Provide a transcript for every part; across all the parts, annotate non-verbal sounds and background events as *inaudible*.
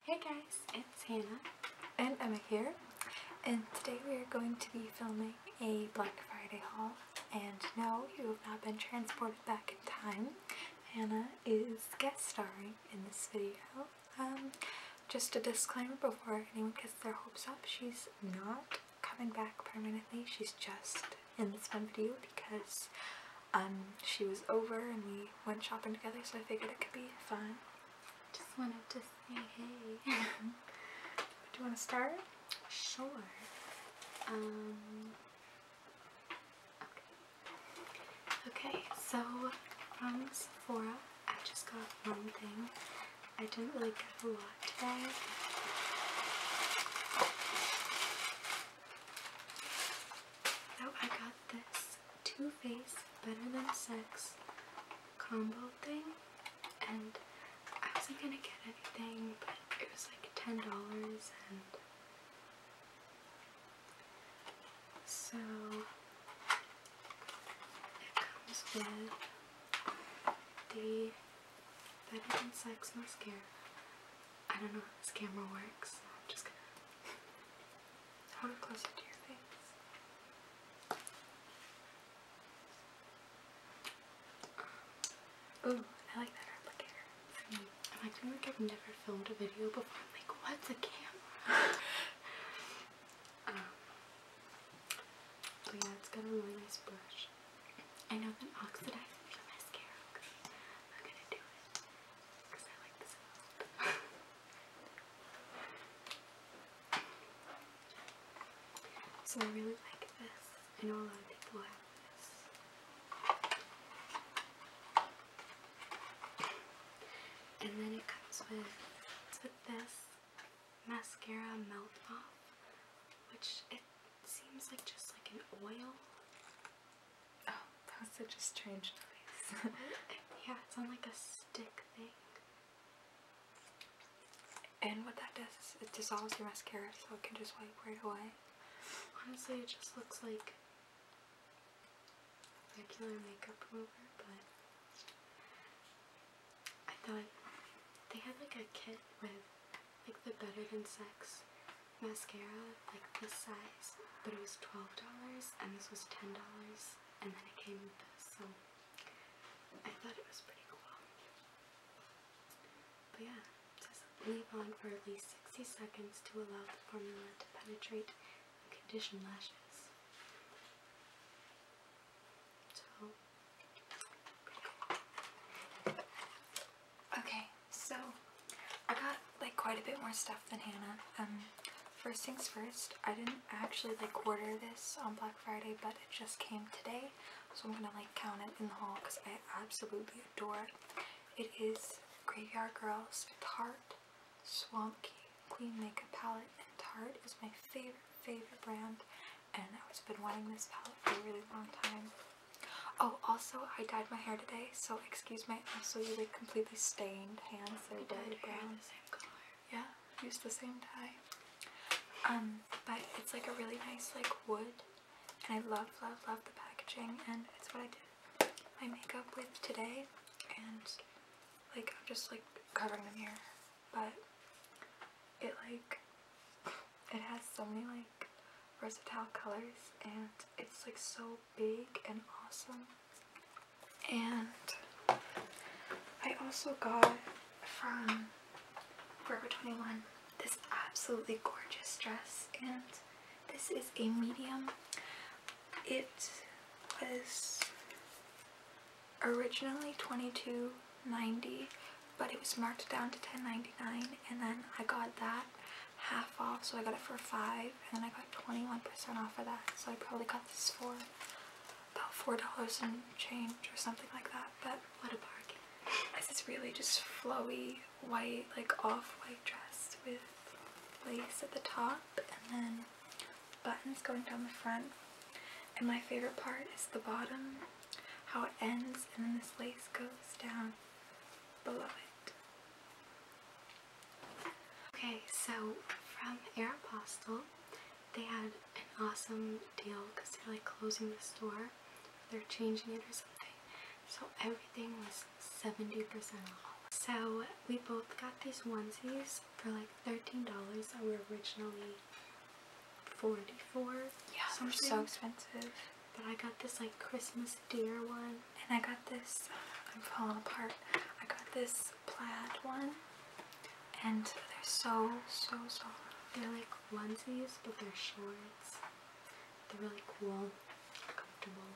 Hey guys, it's Hannah and Emma here and today we are going to be filming a Black Friday haul and now you have not been transported back in time. Hannah is guest starring in this video. Um, just a disclaimer before anyone gets their hopes up, she's not coming back permanently, she's just in this one video because um, she was over and we went shopping together, so I figured it could be fun. Just wanted to say hey. *laughs* Do you want to start? Sure. Um. Okay. Okay. So from um, Sephora, I just got one thing. I didn't really get a lot today. So oh, I got this Two face, Better Than Sex combo thing, and I wasn't gonna get anything, but it was like ten dollars, and so it comes with the Better Than Sex mascara. I don't know if this camera works, I want to close it to your face. Um, ooh, I like that replicator. I mean, I like I've never filmed a video before. like, what's a camera? *laughs* um, yeah, it's got a really nice brush. I know that oxidizing the mascara. I'm gonna do it because I like the sound. *laughs* So I really like this. I know a lot of people have this. And then it comes with, this mascara melt off, which it seems like just like an oil Oh, that was such a strange noise. *laughs* yeah, it's on like a stick thing. And what that does is it dissolves your mascara so it can just wipe right away. Honestly, it just looks like regular makeup remover, but I thought they had like a kit with like the Better Than Sex mascara, like this size but it was twelve dollars, and this was ten dollars, and then it came with this. So I thought it was pretty cool. But yeah, leave on for at least sixty seconds to allow the formula to penetrate and condition lashes. Okay, so I got like quite a bit more stuff than Hannah. Um, first things first, I didn't actually like order this on Black Friday, but it just came today, so I'm gonna like count it in the haul because I absolutely adore it. It is Graveyard Girls Tarte Swamp Queen Makeup Palette, and Tarte is my favorite favorite brand, and I've been wanting this palette for a really long time. Oh, also, I dyed my hair today, so I excuse my also you like completely stained hands that are dyed brown. same color. Yeah, use the same dye. Um, but it's like a really nice like wood, and I love love love the packaging, and it's what I did my makeup with today, and like I'm just like covering the mirror, but it like *laughs* it has so many like versatile colors and it's like so big and awesome. And I also got from Forever 21 this absolutely gorgeous dress and this is a medium. It was originally 22.90 but it was marked down to 10.99 and then I got that half off, so I got it for five, and then I got 21% off of that, so I probably got this for about four dollars and change or something like that. But what a bargain! This is really just flowy white, like off-white dress with lace at the top, and then buttons going down the front. And my favorite part is the bottom, how it ends, and then this lace goes down below it. Okay, so from Air Aeropostale, they had an awesome deal because they're like closing the store, they're changing it or something. So everything was 70% off. So we both got these onesies for like $13 that were originally 44 Yeah, something. they're so expensive. But I got this like Christmas deer one and I got this, I'm falling apart, I got this plaid one. And they're so, so so. They're like onesies, but they're shorts. They're really cool, comfortable.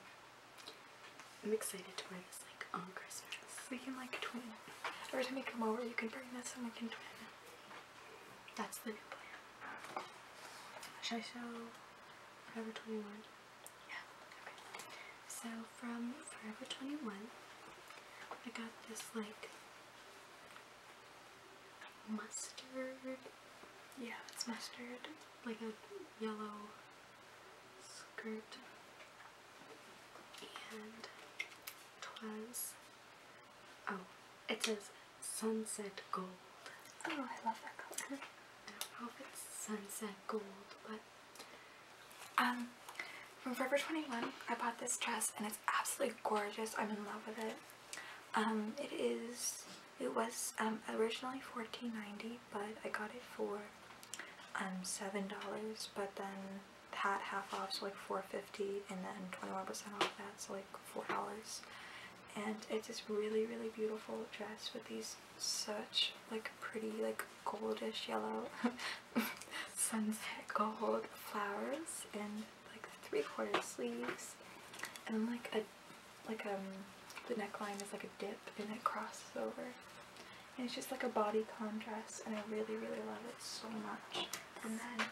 I'm excited to wear this like on Christmas. We can like twin. Every time you come over, you can bring this and we can twin. That's the new plan. Should I show Forever 21? So from Forever 21, I got this like mustard. Yeah, it's mustard. Like a yellow skirt. And twas. Oh, it says sunset gold. Oh, I love that color. I don't know if it's sunset gold, but um, from Forever 21, I bought this dress and it's absolutely gorgeous. I'm in love with it. Um, it is, it was um, originally $14.90, but I got it for um, $7, but then had half off, so like $4.50, and then 21% off that, so like $4 and it's this really really beautiful dress with these such like pretty like goldish yellow *laughs* sunset gold flowers and like three quarter sleeves and like a like um the neckline is like a dip and it crosses over and it's just like a bodycon dress and I really really love it so much and then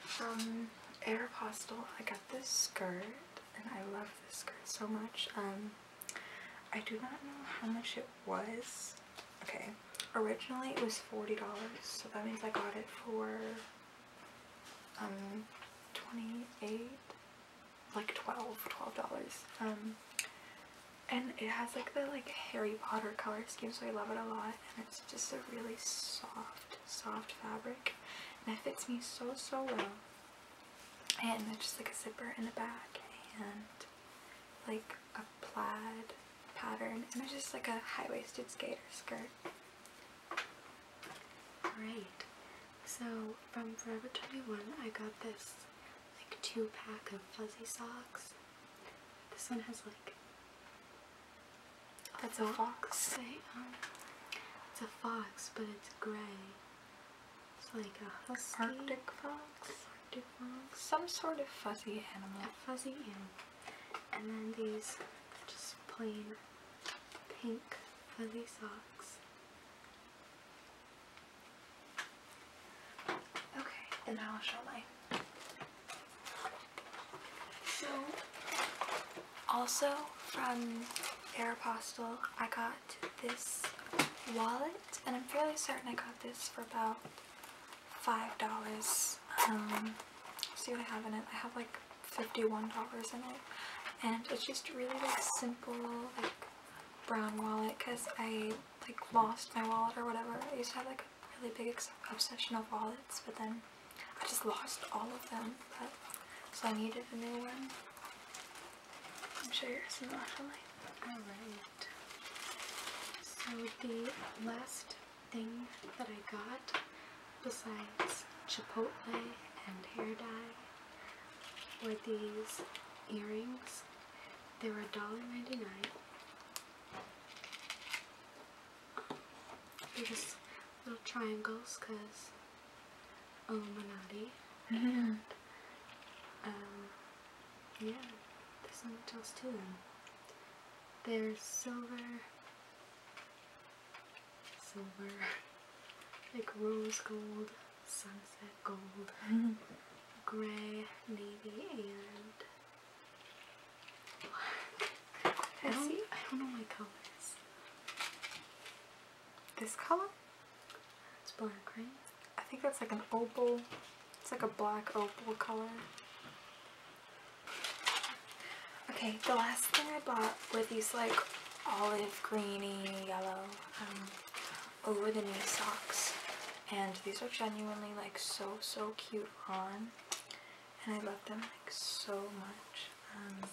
from um, Aeropostale I got this skirt and I love this skirt so much. Um, I do not know how much it was. Okay, originally it was $40, so that means I got it for um 28 like 12 dollars um and it has like the like harry potter color scheme so i love it a lot and it's just a really soft soft, fabric, and it fits me so, so well. And it's just like a zipper in the back and like a plaid pattern, and it's just like a high-waisted skater skirt. Great. So from Forever 21, I got this like two pack of fuzzy socks. This one has like it's a fox. They, um, it's a fox, but it's gray. It's like a husky. Arctic fox. Some sort of fuzzy animal. fuzzy And then these just plain pink fuzzy socks. Okay, and I'll show my. So, also from Aeropostale, I got this wallet, and I'm fairly certain I got this for about five dollars. Um, see what I have in it. I have like fifty-one dollars in it, and it's just really like simple, like brown wallet. Cause I like lost my wallet or whatever. I used to have like a really big obsession of wallets, but then I just lost all of them, so I needed a new one. I'm sure yours is light. Alright. So the last thing that I got besides Chipotle and hair dye were these earrings. They were $1.99. They're just little triangles because Illuminati. Mm-hmm. And um, yeah, there's so much else to them. There's silver, silver, *laughs* like rose gold, sunset gold, mm-hmm. gray, navy, and black. I don't, know my colors. This color? It's black, right? I think that's like an opal. It's like a black opal color. Okay, the last thing I bought were these like olive greeny yellow um, over the knee socks. And these are genuinely like so, so cute on. And I love them like so much. Um,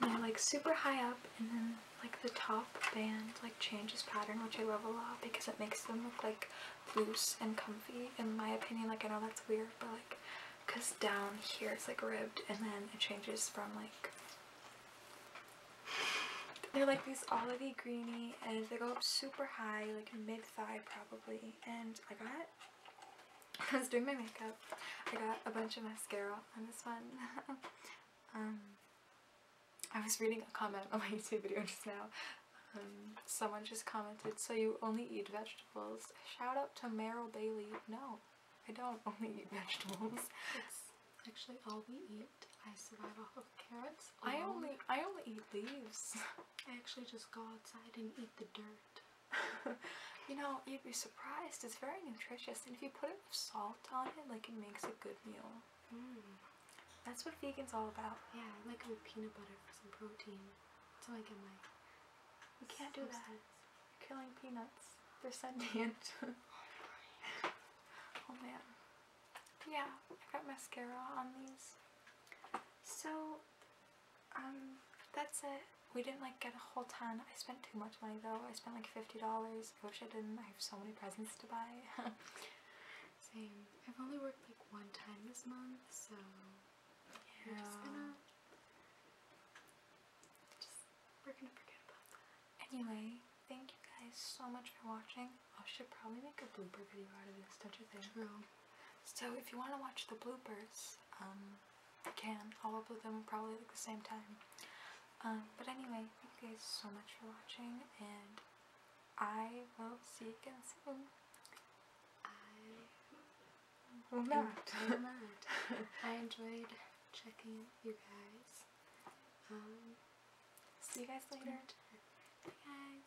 they're like super high up and then like the top band like changes pattern which I love a lot because it makes them look like loose and comfy in my opinion. Like I know that's weird but like because down here it's like ribbed and then it changes from like they're like these olivey greeny and they go up super high like mid-thigh probably and I got *laughs* I was doing my makeup. I got a bunch of mascara on this one. *laughs* Um, I was reading a comment on my *laughs* YouTube video just now. Um, someone just commented, so you only eat vegetables. Shout out to Meryl Bailey. No, I don't only eat vegetables. actually all we eat. I survive off of carrots. I only I only eat leaves. I actually just go outside and eat the dirt. *laughs* you know, you'd be surprised. It's very nutritious, and if you put it with salt on it, like it makes a good meal. Mm. That's what vegan's all about. Yeah, I like it with peanut butter for some protein. So I get my. We can't do that. You're killing peanuts. They're sentient. *laughs* Oh, oh man. Yeah, I got mascara on these. So, um, that's it. We didn't like get a whole ton. I spent too much money though. I spent like $50. I wish I didn't. have so many presents to buy. *laughs* Same. I've only worked like one time this month, so we're just gonna uh, just we're gonna forget about that. Anyway, thank you guys so much for watching. I should probably make a blooper video out of this, don't you think? True. So if you wanna watch the bloopers, um, can all upload them probably at the same time. Um, but anyway, thank you guys so much for watching, and I will see you guys soon. *laughs* I will not. I enjoyed checking you guys. Um, see you guys later. Bye